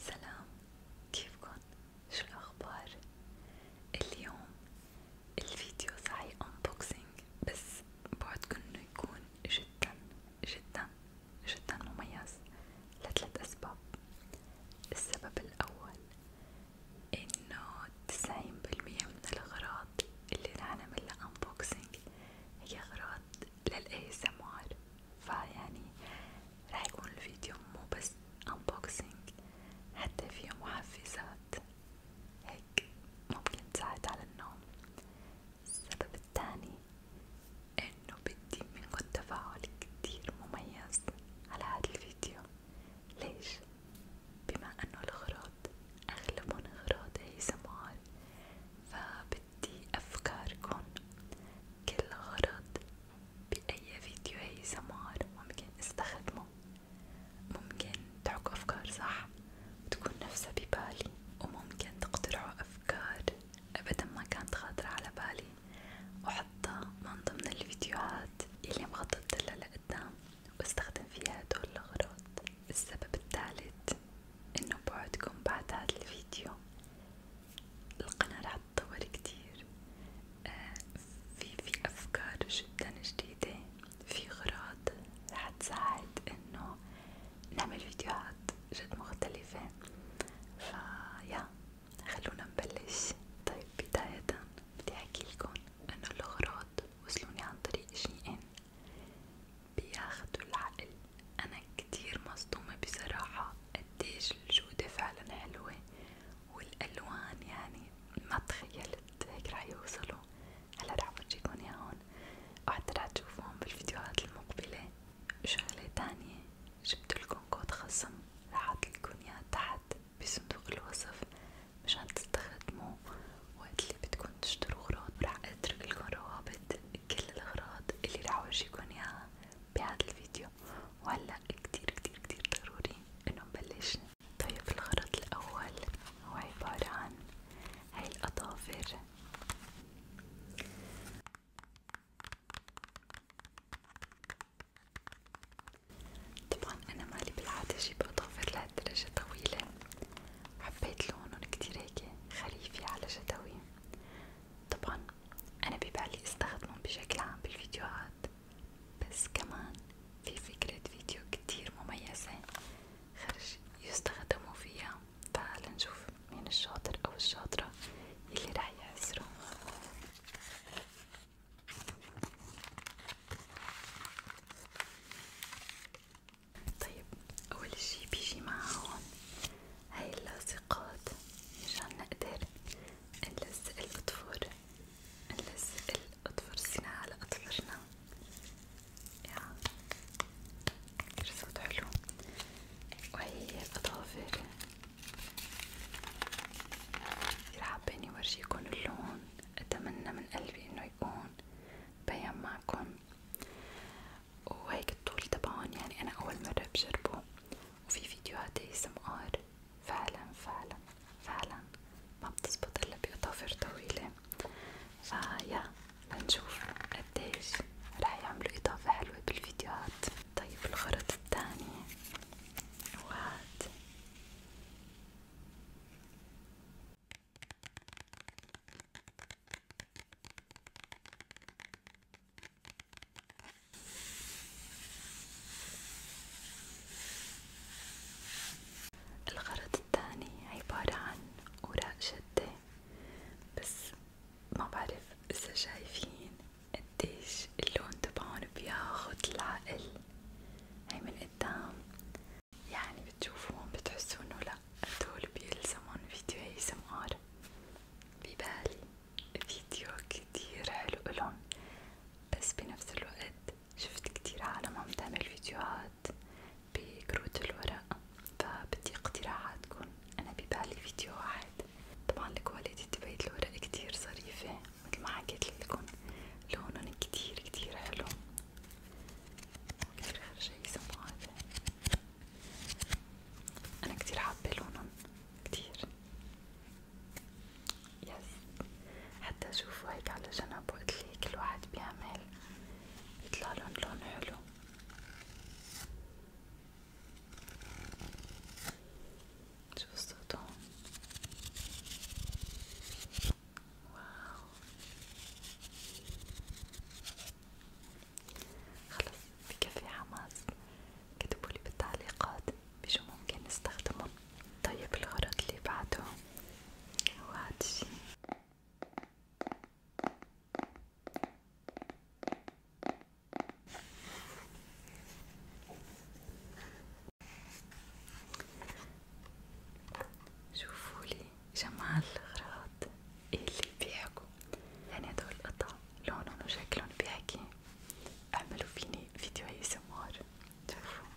سلام كيفكن؟ شو الأخبار؟ اليوم الفيديو صحيح unboxing بس بعدكن انه يكون جدا جدا جدا مميز لثلاث أسباب السبب الأول انه تسعين بالمية من الأغراض اللي رح نعملها unboxing هي أغراض للاي اس ام ار فيعني راح يكون الفيديو مو بس unboxing حتى فيه محفزات هيك ممكن تساعد على النوم السبب الثاني انه بدي منكم تفاعل كتير مميز على هذا الفيديو ليش؟ بما انه الغراض اغلبهم غراض هي سمار فبدي بدي أفكاركن كل غرض بأي فيديو هي سمار ممكن استخدمه ممكن تحكوا أفكار صح وتكون نفسها ببالي وممكن تقترحوا أفكار أبدا ما كانت خاطرة على بالي وحطها من ضمن الفيديوهات اللي مخططتلها لقدام واستخدم فيها هدول الغراض السبب الثالث انه بعدكم بعد هذا الفيديو القناة راح تتطور كتير آه، في في أفكار جدا جديدة في غراض راح تساعد إنه نعمل فيديوهات جد مختلفة فيا خلونا نبلش طيب بداية بدي أحكيلكن إنه الغراض وصلوني عن طريق شيئين بياخدوا العقل أنا كتير مصدومة بصراحة قديش الجودة فعلا حلوة والألوان يعني ما تخيلت هيك رح يوصلوا هلا رح فرجيكن ياهن وحتى رح تشوفوهم بالفيديوهات المقبلة شغلة تانية جبتلكن كود خصم رح اعطيلكن ياه تحت بصندوق الوصف مشان تستخدموه وقت اللي بدكن تشتروا اغراض رح اتركلكن روابط كل الاغراض اللي رح اورجيكن ياها بهذا الفيديو وهلا كتير كتير كتير ضروري انه نبلش طيب الخرط الاول هو عبارة عن هاي الاظافر طبعا انا مالي بالعادة جيب اظافر لهالدرجة طويلة حبيت لونهم كتير هيك خريفي على شتوي طبعا أنا ببالي استخدمهم بشكل عام بالفيديوهات بس كمان في فكرة فيديو كتير مميزة خرج يستخدموا فيها تعال نشوف مين الشاطر أو الشاطرة اللي راح يعسروا طيب أول شي بيجي معاهم هاي اللاصقات مشان نقدر نلزق الأطفال نلزق الأطفال على أطفالنا يا رصد حلو وهي الأظافر كتير حابين ورجيكن اللون أتمنى من قلبي إنه يكون بين معكن وهيك الطول تبعون يعني أنا أول مرة بجربه وفي فيديوهات ASMR فعلا فعلا فعلا ما بتزبط إلا بأظافر طويلة فيا لنشوف قديش رح يعملوا إضافة حلوة بالفيديوهات طيب الخرط التاني وهاد الغرض الثاني عبارة عن أوراق شدة بس ما بعرف إذا شايفين قديش اللون تبعون بياخد العقل هاي من قدام يعني بتشوفوهم بتحسوا انه لأ هدول بيلزمون فيديو ASMR ببالي فيديو كتير حلو لهم بس بنفس الوقت شفت كتير عالم عم تعمل فيديوهات بكروت الورق فبدي اقتراحاتكم أنا ببالي فيديو واحد طبعا الكواليتي تبعت الورق كتير ظريفة مثل ما حكيت لكم لونهم كتير كتير حلو وكتير شي سمو هذا أنا كتير حابة لونن كتير يس حتى شوفوا هيك على جنب وقت لي كل واحد بيعمل بيطلعلن لون حلو شوف صوتهم واو خلص بكفي حماس كتبولي بالتعليقات بشو ممكن نستخدمه طيب الغرض اللي بعده هو هاد الشي شوفولي جمال الغراض القطعات اللي بيحكوا يعني هدول القطع لونهم وشكلهم بيحكي اعملوا فيني فيديو اي سمار شوفوا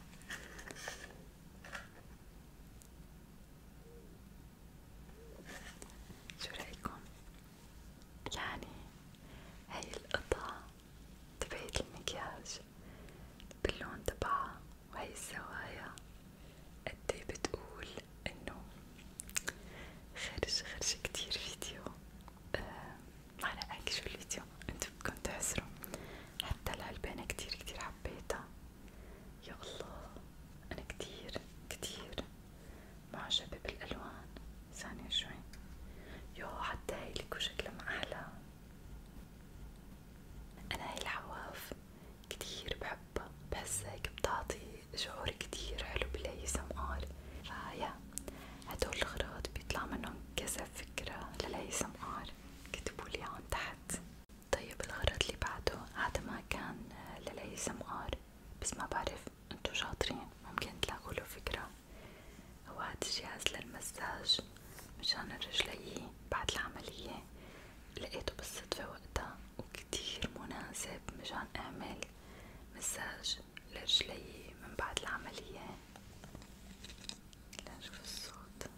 شو رأيكم؟ يعني هاي القطعة تبعت المكياج باللون تبعها وهي الزوايا قدي إيه بتقول انه خرج خرج كتير فيديو آه الفيديو انتو بدكم تحسروا حتى العلبانة كتير كتير حبيتها يا الله انا كتير كتير معجبة بالالوان ثانية شوي يو حتى هاي لكو شكلها احلى انا هاي العواف كتير بحبها بحسها هيك بتعطي شعور كتير حلو بالهيثم قال فيا هدول الأغراض بيطلع منهم كذا فكرة للهيثم قال كتبولي عن تحت طيب الغرض اللي بعده هذا ما كان للهيثم قال بس ما بعرف انتو شاطرين ممكن تلاقوا له فكرة هو هاد الجهاز للمساج مشان رجلي بعد العملية لقيته بالصدفة وقتها وكتير مناسب مشان اعمل مساج لرجلي من بعد العملية لنشوف الصوت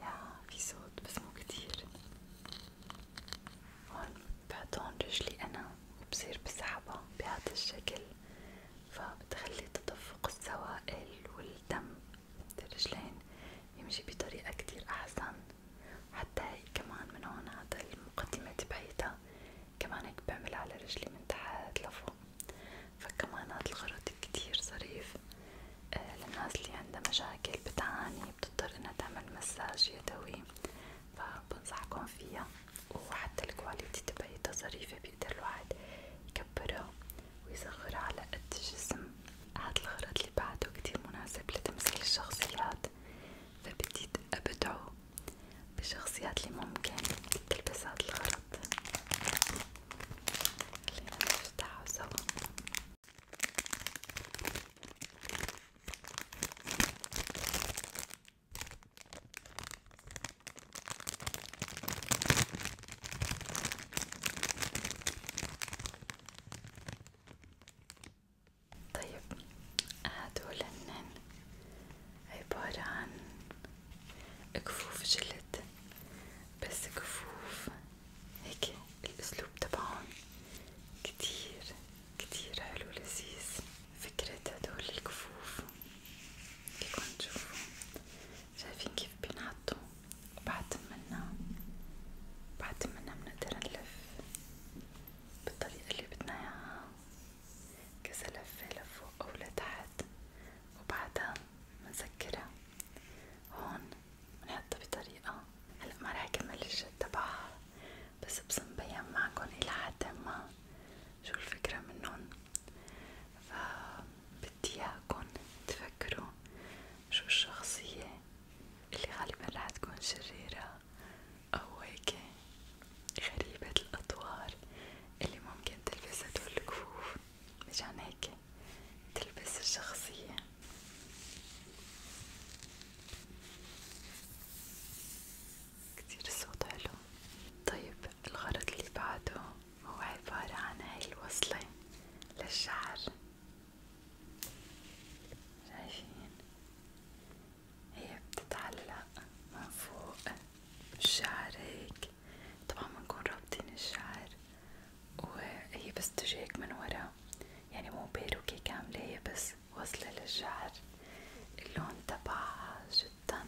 يا في صوت بس مو كتير هون بحط هون رجلي أنا وبصير بسحبها بهذا الشكل فبتخلي تدفق السوائل والدم الرجلين يمشي بطريقة كتير أحسن حتى هي كمان من هون هذا المقدمة تبعيتها كمان هيك بعمل على رجلي من تحت لفوق فكمان هاد الخرط كتير ظريف آه للناس اللي عندها مشاكل بتعاني بتضطر انها تعمل مساج يدوي فبنصحكم فيها وحتى الكواليتي تبعيتها ظريفة بيقدر الواحد يكبرها ويصغر على قد الجسم هاد الغرض اللي بعده كتير مناسب لتمثيل الشخصيات فبدي ابدعه بالشخصيات اللي ممكن تلبس هاد الغرض خلينا نفتحه سوا طيب هدول هنن عبارة عن كفوف جلد بس كفوف هيك الأسلوب تبعهم كتير كتير حلو لذيذ فكرة هدول الكفوف فيكن تشوفوا شايفين كيف بينحطوا بعد منا بعد منا بنقدر نلف بالطريقة اللي بدنا اياها كذا لفة لفوق أو لتحت وبعدها بنسكرها هون بنحطها بطريقة هلا ما رح اكمل الشد تبعها بس بصم بين معكن إلى حد ما شو الفكرة منن ف بدي اياكم تفكروا شو الشخصية اللي غالبا رح تكون شريرة أو هيك غريبة الأطوار اللي ممكن تلبس هدول الكفوف مشان هيك تلبس الشخصية كتير الصوت حلو طيب الغرض اللي بعده هو عبارة عن هاي الوصلة للشعر شايفين هي بتتعلق من فوق الشعر هيك طبعا بنكون رابطين الشعر وهي بس تجي هيك من ورا يعني مو بيروكي كاملة هي بس وصلة للشعر اللون تبعها جدا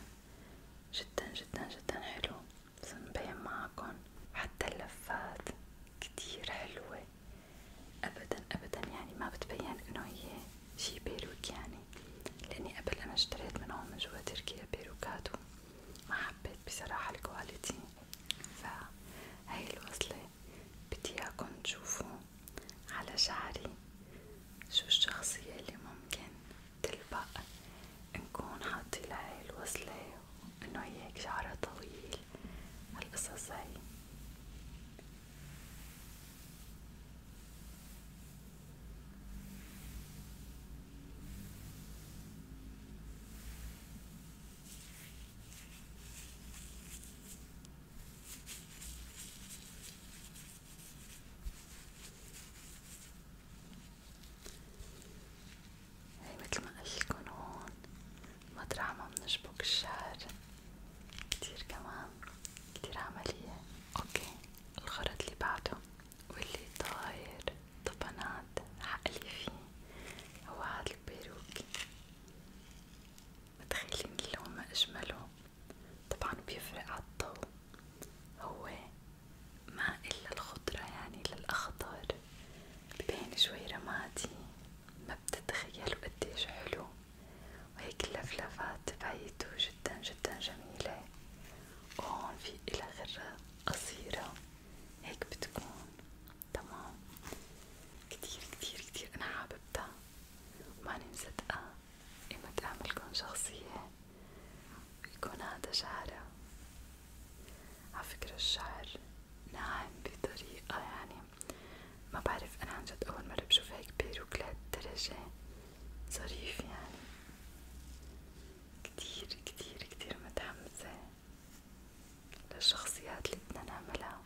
جدا جدا جدا حلو سنبين معكن حتى اللفات كتير حلوة ابدا ابدا يعني ما بتبين انه هي شي بيروت يعني لاني قبل انا اشتريت منهم من جوا تركيا بيروكات وما حبيت بصراحة الكواليتي فهي الوصلة بدي اياكم تشوفوا على شعري شو الشخصية اللي ممكن تلبق نكون حاطين لهي الوصلة انه هي هيك شعرها طويل هالقصص هاي هي متل ما قلتلكن هون مطرح ما بنشبك الشعر كتير كمان كتير عملية اوكي الخرط اللي بعده واللي طاير طبنات عقلي فيه هو هاد البيروكي متخيلين اللون ما اجمله طبعا بيفرق عالضو هو ما إلا الخضرة يعني للأخضر ببين شوي رمادي ما بتتخيلوا قديش حلو وهيك اللفلفات تبعيته جدا جدا جميلة وهون في إلها غرة قصيرة هيك بتكون تمام كتير كتير كتير أنا حاببتها وماني مصدقة إما تعملكن شخصية يكون هذا شعرها عفكرة الشعر ناعم بطريقة يعني ما بعرف أنا عنجد أول مرة بشوف هيك بيروك لهالدرجة ظريف يعني كتير كتير كتير متحمسة للشخصيات اللي بدنا نعملها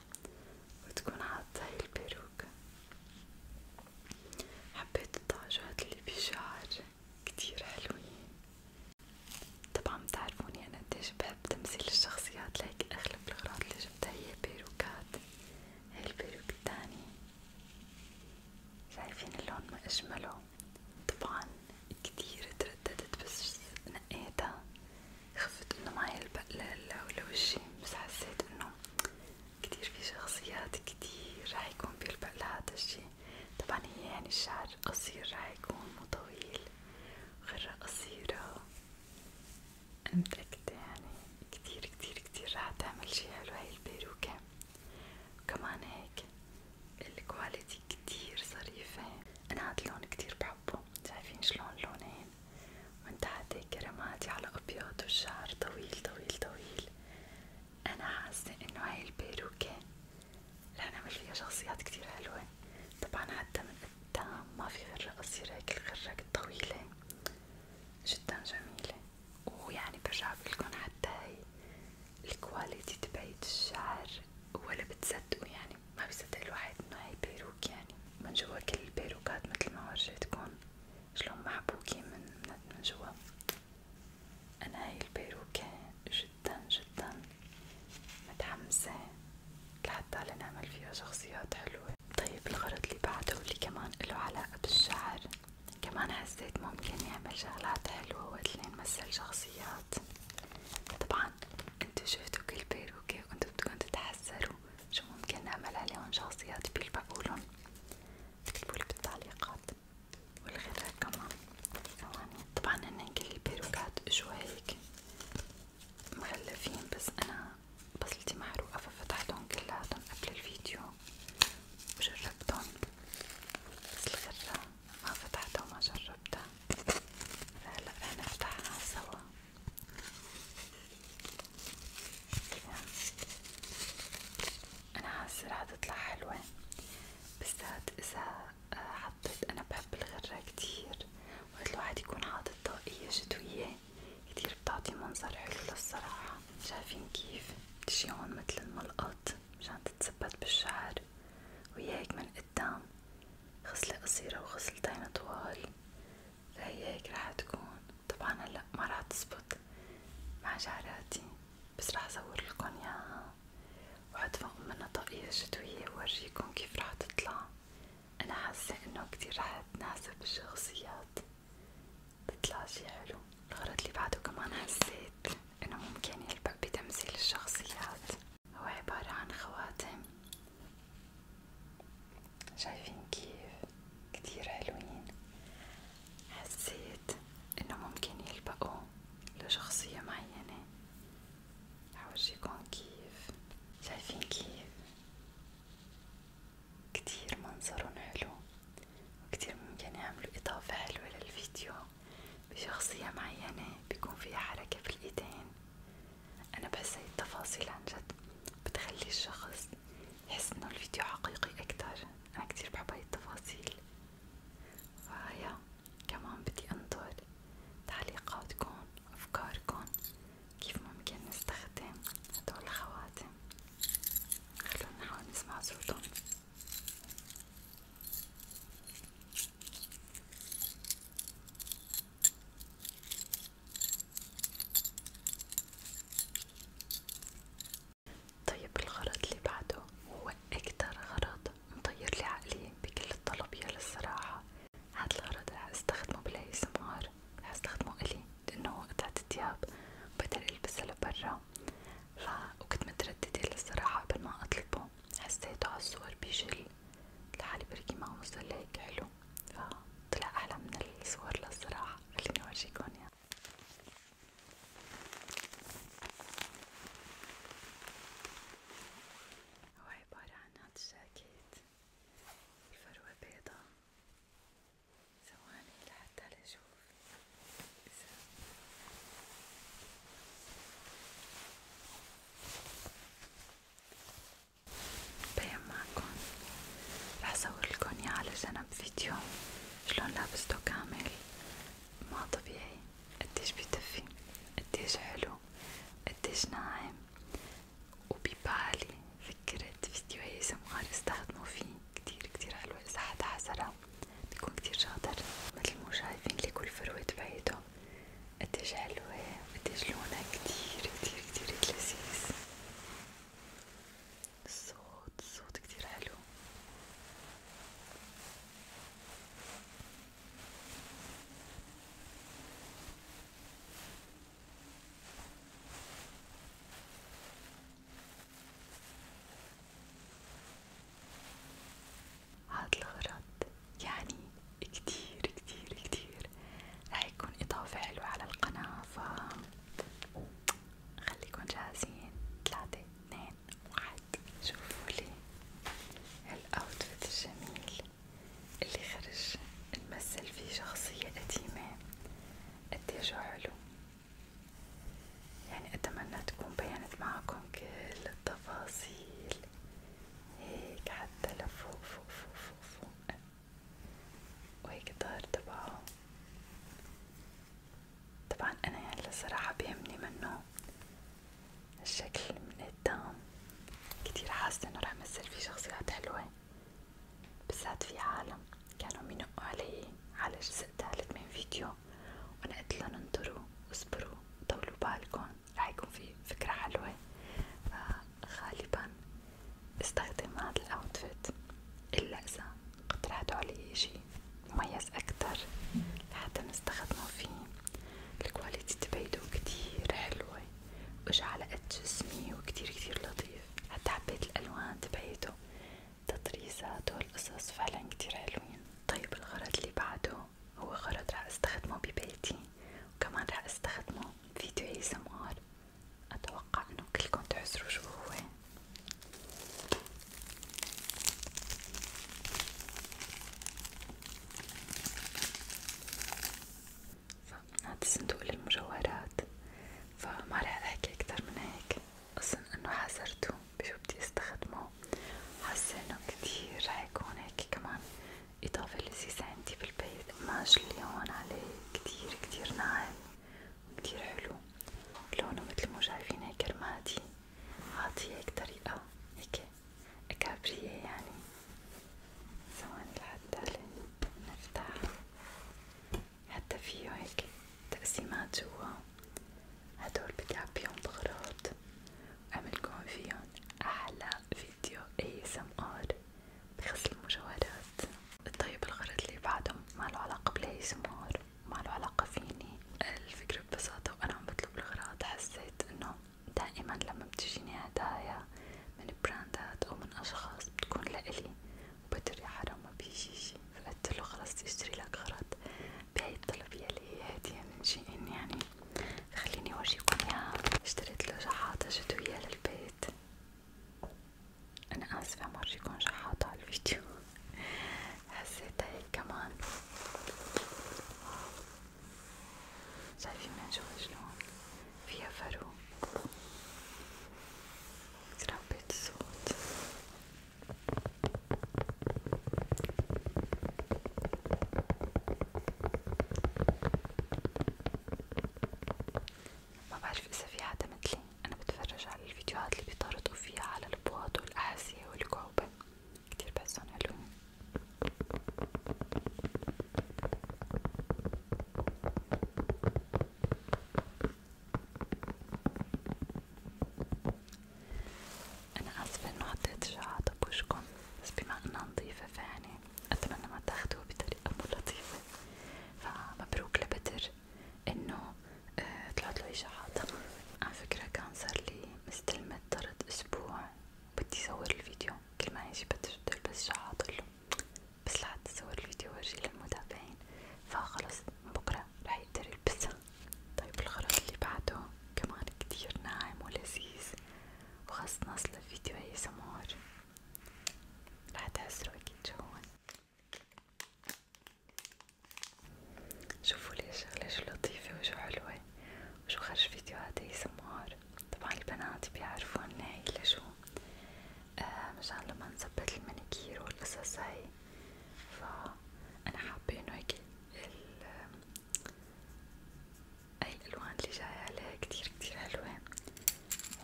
وتكون حاطة هاي البيروك حبيت الطاجات اللي بشعر كتير حلوين طبعا بتعرفوني انا قديش بحب تمثيل الشخصيات لهيك اغلب الأغراض اللي جبتها هي بيروكات هي البيروك شايفين اللون ما أجمله طبعا كتير ترددت بس نقيتها خفت انه معي البقلة لوشي بس حسيت انه كتير في شخصيات كتير رح يكون بيلبق لهذا الشي طبعا هي يعني الشعر قصير راح يكون مو طويل غرة قصيرة أنا متأكدة يعني كتير كتير كتير راح تعمل شي حلو هاي البيروكة وكمان هيك الكواليتي كتير ظريفة أنا هاد اللون كتير بحبه شايفين شلون لونين من تحت هيك رمادي على أبيض والشعر طويل طويل طويل أنا حاسة إنه هاي البيروكة لأن عمل فيها شخصيات كتير حلوة طبعا حتى من قدام ما في غرة قصيرة هيك الغرة الطويلة جدا جميلة ويعني برجع بقولكن حتى هي الكواليتي تبعت الشعر ولا بتصدقوا يعني ما بيصدق الواحد انه هي بيروك يعني من جوا كل البيروكات متل ما ورجيتكن شلون محبوكين من من جوا أنا هاي البيروكة جدا جدا متحمسة لحتى نعمل فيها شخصيات حلوة طيب الغرض اللي بعده واللي كمان له علاقة بالشعر كمان حسيت ممكن نعمل شغلات حلوة وقت اللي نمثل شخصيات طبعا انتو شفتوا كل بيروكة وانتو بدكن تتحسروا شو ممكن نعمل عليهم شخصيات بيلبقولن تكتبولي بالتعليقات والغذاء كمان طبعا هن كل البيروكات جوا هيك مغلفين بس انا بصلتي محروقة ففتحتهم كلياتهم قبل الفيديو وجربتهم بس الغرة ما فتحتها وما جربتها فهلا رح نفتحها سوا انا حاسة رح تطلع حلوة بالذات اذا حطيت أنا بحب الغرة كتير وقت الواحد يكون حاطط طاقية شتوية كتير بتعطي منظر حلو للصراحة شايفين كيف بتجي هون متل الملقط مشان تتثبت بالشعر وياك من قدام خصلة قصيرة وخصلتين طوال فهي هيك رح تكون طبعا هلا ما رح تزبط مع شعراتي بس رح اصور لكم اياها وحط فوق منها طاقية شتوية وورجيكم كيف رح تطلع أنا حاسة إنه كتير رح تناسب الشخصيات تطلع شي حلو الغرض اللي بعده كمان حسيت إنه ممكن يلبق بتمثيل الشخصيات هو عبارة عن خواتم شايفين كيف كتير حلوين حسيت إنه ممكن يلبقوا لشخصية معينة حورجيكم كيف شايفين كيف كتير منظرهم حلو وكتير ممكن يعملوا إضافة حلوة للفيديو بشخصية معينة بيكون فيها حركة بالإيدين أنا بحس هاي التفاصيل عن جد بتخلي الشخص يحس إنه الفيديو حقيقي أكتر أنا كتير بحب هاي التفاصيل فهيا كمان بدي أنطر تعليقاتكم وأفكاركم كيف ممكن نستخدم هدول الخواتم خلونا نحاول نسمع صوتهم طيب الغرض اللي بعده هو أكتر غرض مطير لي عقلي بكل الطلب يا للصراحة هاد الغرض رح استخدمه بلاي سمار رح استخدمه إلي لأنه قطعة التياب بقدر ألبسها لبرا ف وكنت مترددة للصراحة قبل ما أطلبه حسيته عالصور بيجي لحالي بركي معه مظل هيك حلو فطلع أحلى من الصور للصراحة خليني أورجيكم إياه هو عبارة عن هاد الجاكيت الفروة بيضة ثواني لحتى نشوف إذا بين معكم رح صورلكن ياه على جنب فيديو شلون لابستو كامل ما طبيعي قديش بيدفي قديش حلو قديش ناعم وببالي فكرة فيديو هي سمغار استخدموا فيه كتير كتير حلوة إذا حدا حسرها بيكون كتير شاطر مثل مو شايفين لي كل فروة بعيده قديش حلوة قديش لونها كتير كتير كتير لذيذ الصوت الصوت كتير حلو هاد الغرض يعني كتير كتير كتير رح يكون إضافة حلوة على القناة ف خليكن جاهزين 3 2 واحد واحد شوفوا لي هالاوتفيت الجميل اللي خرج نمثل فيه شخصية قديمة قديش حلو يعني أتمنى تكون بينت معكم كل التفاصيل هيك حتى لفوق فوق فوق فوق فوق وهيك الظهر تبعه طبعا انا هلا يعني صراحة بيهمني منه الشكل من قدام كتير حاسة انه رح مثل فيه شخصيات حلوة بالذات في عالم كانوا ينقوا علي على جزء تالت من فيديو وانا قلتلن انطروا واصبروا طولوا بالكم رح يكون في فكرة حلوة فغالبا استخدم هذا الاوتفيت الا اذا قطراتو عليه شي مميز أكتر لحتى نستخدمه فيه الكواليتي تبعيدو كتير حلوة وإجا على قد جسمي وكتير كتير لطيف حتى حبيت الألوان تبعيتو تطريزاتو القصص فعلا كتير حلوين طيب الغرض اللي بعده هو غرض رح استخدمه ببيتي وكمان رح استخدمه فيديو ASMR اتوقع انه كلكم تحسروا شو هو هذا الصندوق للمجوهرات فما رح احكي اكتر من هيك اصلا انه حذرته بشو بدي استخدمه حاسه انه كتير رح يكون هيك كمان اضافه لذيذه عندي بالبيت القماش اللي هون عليه كتير كتير ناعم وكتير حلو لونه مثل ما شايفين هيك رمادي أعطيه هيك طريقة هيك أكابرية يعني ثواني لحتى نفتح حتى فيه هيك تقسيمات جوا هدول بدي أعبيهم بغراض وأعملكم فيهم أحلى فيديو ASMR بغسل المجوهرات طيب الغرض اللي بعدهم ماله علاقة بال ASMR ما له علاقة فيني الفكرة ببساطة وأنا عم بطلب الأغراض حسيت إنه دائما لما بتجيني هدايا من براندات أو من أشخاص بتكون لإلي وبدر يا حرام ما بيجي شي فقلت له خلص تشتري لك غرض بهاي الطلبية اللي هي هدية من شيئين يعني خليني أورجيكم إياها اشتريت له شحاطة جدوية للبيت أنا آسفة ما أورجيكم شحاطة على الفيديو حسيتها هيك كمان شايفين من جوا شلون فيها فرو تربيت الصوت ما بعرف إذا في حدا مثلي أنا بتفرج على الفيديوهات اللي بيطرطوا فيها على البواط والأحاسية والكعوبة كتير بحسن حلوين أنا آسفة إنه حطيت شعات بوشكم بس بما إنها نظيفة فيعني أتمنى ما تاخدوها بطريقة مو لطيفة فمبروك لبدر انه آه، طلعت له اشاعات على فكرة كان صار لي مستلمة طرد اسبوع بدي صور الفيديو كل ما يجي بدي بس اشاعات له بس لحد صور الفيديو ورجي للمتابعين فخلص بكرة رح يقدر يلبسها طيب الخرز اللي بعده كمان كتير ناعم ولذيذ وخاص ناصلة فيديو هي سمار رح تحسوا اكيد شو شوفوا ليش شغلة شو لطيفة وشو حلوة وشو خرج فيديوهات اي سمار طبعا البنات بيعرفوا هي لشو آه مشان لما نثبت المانيكير والقصص هاي فأنا حابة انه هيك هاي الألوان اللي جاية عليها كتير كتير حلوة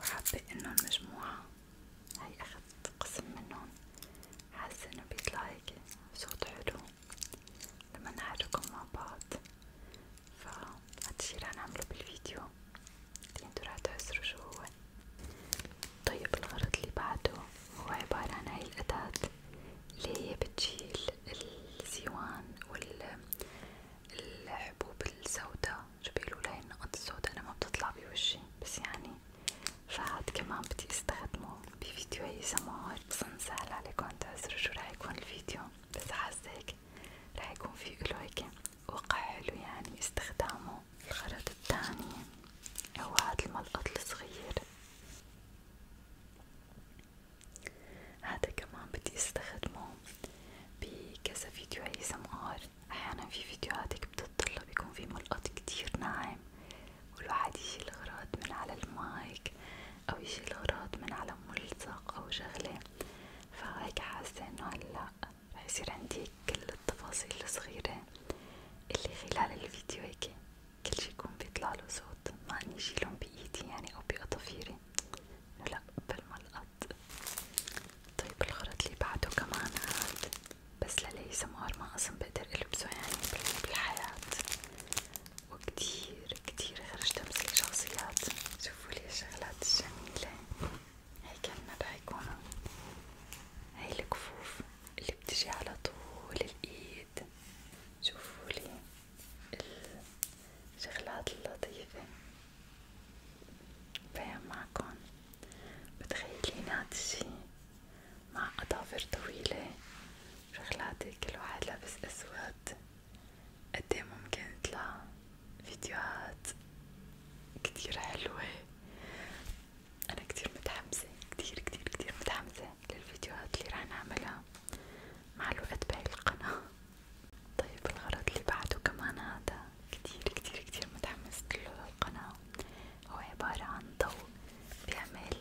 وحابة انه المجموعة هاي أخذت قسم منهم حاسة إنه بيطلع هيك صوت حلو لما نحركهم مع بعض فهاد رح نعمله بالفيديو انتو رح تحسروا شو هو طيب الغرض اللي بعده هو عبارة عن هاي الأداة اللي هي بتشيل الزيوان والحبوب السوداء شو بيقولوا لها النقط السوداء أنا ما بتطلع بوجهي بس يعني فهاد كمان بدي استخدمه بفيديوهي سماعات بظن سهل عليكم تعزروا شو رح يكون الفيديو بس حاسة هيك رح يكون في اله هيك وقع حلو يعني استخدامه الخرط التاني هو هاد الملقط الصغير هذا كمان بدي استخدمه بكذا فيديو ASMR احيانا في فيديوهات هيك بتطلب يكون في ملقط كتير ناعم والواحد يشيل غراض من على المايك أو يشيل غراض من على ملصق أو شغلة فهيك حاسة إنه هلا رح يصير عندي كل التفاصيل الصغيرة اللي خلال الفيديو هيك كل شي يكون بيطلعله صوت ما إني شيلهم بإيدي يعني أو بأطافيري لأ بالملقط طيب الخرط اللي بعده كمان هاد بس للاقي سمار ما اصلا بقدر البسه يعني بالحياة وكتير كتير خرجت امسك شخصيات شوفوا لي الشغلات الجميلة هي كنا رح يكونوا هي الكفوف اللي بتجي على طول الايد شوفوا لي الشغلات اللطيفة بيان معكم بتخيلين هاد الشي مع أظافر طويلة رجلاتي كل واحد لابس أسود قديه ممكن يطلع فيديوهات كتير حلوة أنا كتير متحمسة كتير كتير كتير متحمسة للفيديوهات اللي رح نعملها مع الوقت بهي القناة طيب الغرض اللي بعده كمان هذا كتير كتير كتير متحمسة له للقناة هو عبارة عن ضوء بيعمل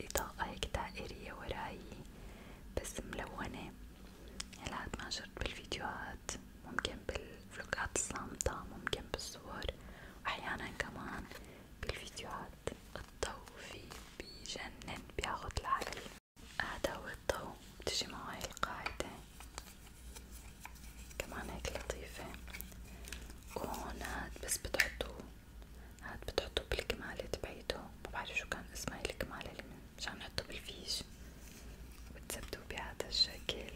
إضاءة هيك دائرية وراي بس ملونة هلا هاد ما شرط بالفيديوهات ممكن بالفلوقات الصامتة ممكن بالصور وأحيانا كمان بالفيديوهات الضوء فيه بيجنن بياخد العقل هذا هو الضوء بتجي معه هاي القاعدة كمان هيك لطيفة وهون هاد بس بتحطوه هاد بتحطوه بالكمالة تبعيته مبعرف شو كان اسمها الكمالة اللي مشان نحطه بالفيش وبتثبتوه بهذا الشكل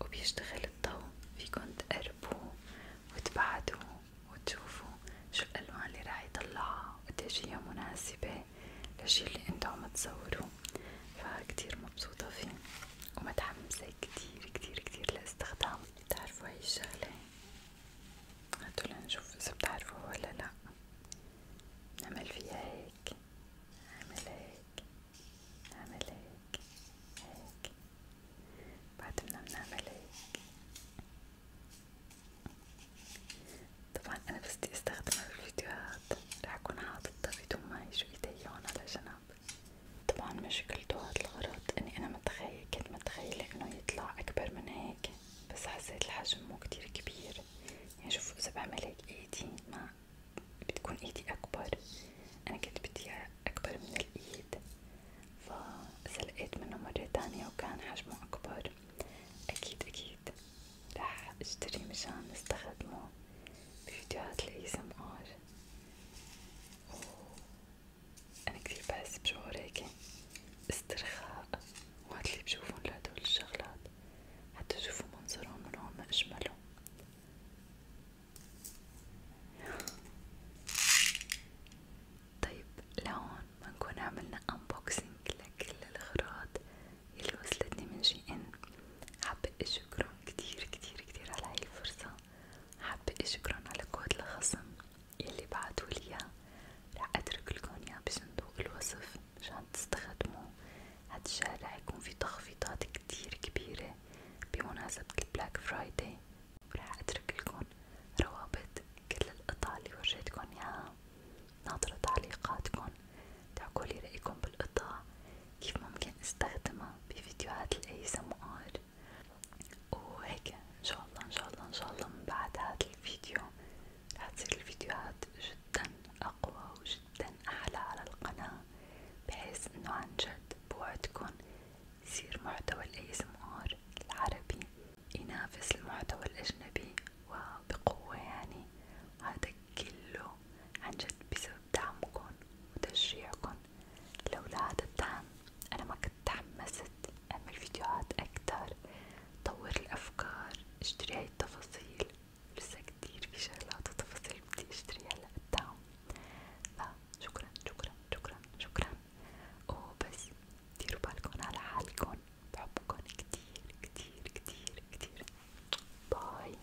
وبيشتغل الضو فيكن تقربوه وتبعدوه وتشوفوا شو الألوان اللي راح يطلعها وقديش هي مناسبة للشي اللي انتو عم تصوروه فكتير مبسوطة فيه ومتحمسة كتير كتير كتير لاستخدامه بتعرفوا هاي الشغلة هاتوا لنشوف اذا بتعرفوها ولا لا نعمل فيها هيك نعمل هيك نعمل هيك هيك بعد منا بنعمل هيك طبعا انا بس بدي استخدمها بالفيديوهات رح اكون حاطتها بدون ما يجوا ايدي هون علشان طبعا مشكلته هاد الغرض اني انا متخيل كنت متخيلة انه يطلع اكبر من هيك بس حسيت الحجم مو كتير كبير يعني شوفوا اذا بعمل هيك ايدي ما بتكون ايدي اكبر انا كنت بدي اكبر من الايد فسلقيت منه مرة تانية وكان حجمه اكبر اكيد اكيد رح اشتري مشان نستخدمه فيديوهات لي اسم ار انا كثير بحس بشعور هيك استرخاء وقت اللي بشوفهم لهدول الشغلات حتى شوفوا منظرهم من هون اجملهم طيب لهون بنكون عملنا انبوكسينج لكل الأغراض يلي وصلتني من شي ان حابة اشكرهم كتير كتير كتير على هاي الفرصة حابة اشكرن على كود الخصم يلي بعتولي رح اترك لكم اياه بصندوق الوصف مشان تستخدموه هاد الشهر رح يكون في تخفيضات كتير كبيرة بمناسبة البلاك فرايداي ورح اترك لكم روابط كل القطع اللي ورجيتكن اياها ناطرة تعليقاتكن تعقولي رأيكم بالقطع كيف ممكن استخدمها بفيديوهات الاي ار وهيك ان شاء الله ان شاء الله ان شاء الله من بعد هذا الفيديو رح تصير الفيديوهات جدا اقوى وجدا احلى على القناة بحيث انه عن جد بوعدكن يصير محتوى الاي ار العربي ينافس المحتوى الاجنبي وبقوة يعني هذا كله عن جد بسبب بدعمكن وتشجيعكن لولا هاد الدعم أنا ما كنت تحمست أعمل فيديوهات أكتر طور الأفكار اشتري هاي التفاصيل لسه كتير في شغلات وتفاصيل بدي اشتريها لقدام فشكرا شكرا شكرا شكرا وبس ديروا بالكن على حالكن بحبكن كتير كتير كتير كتير باي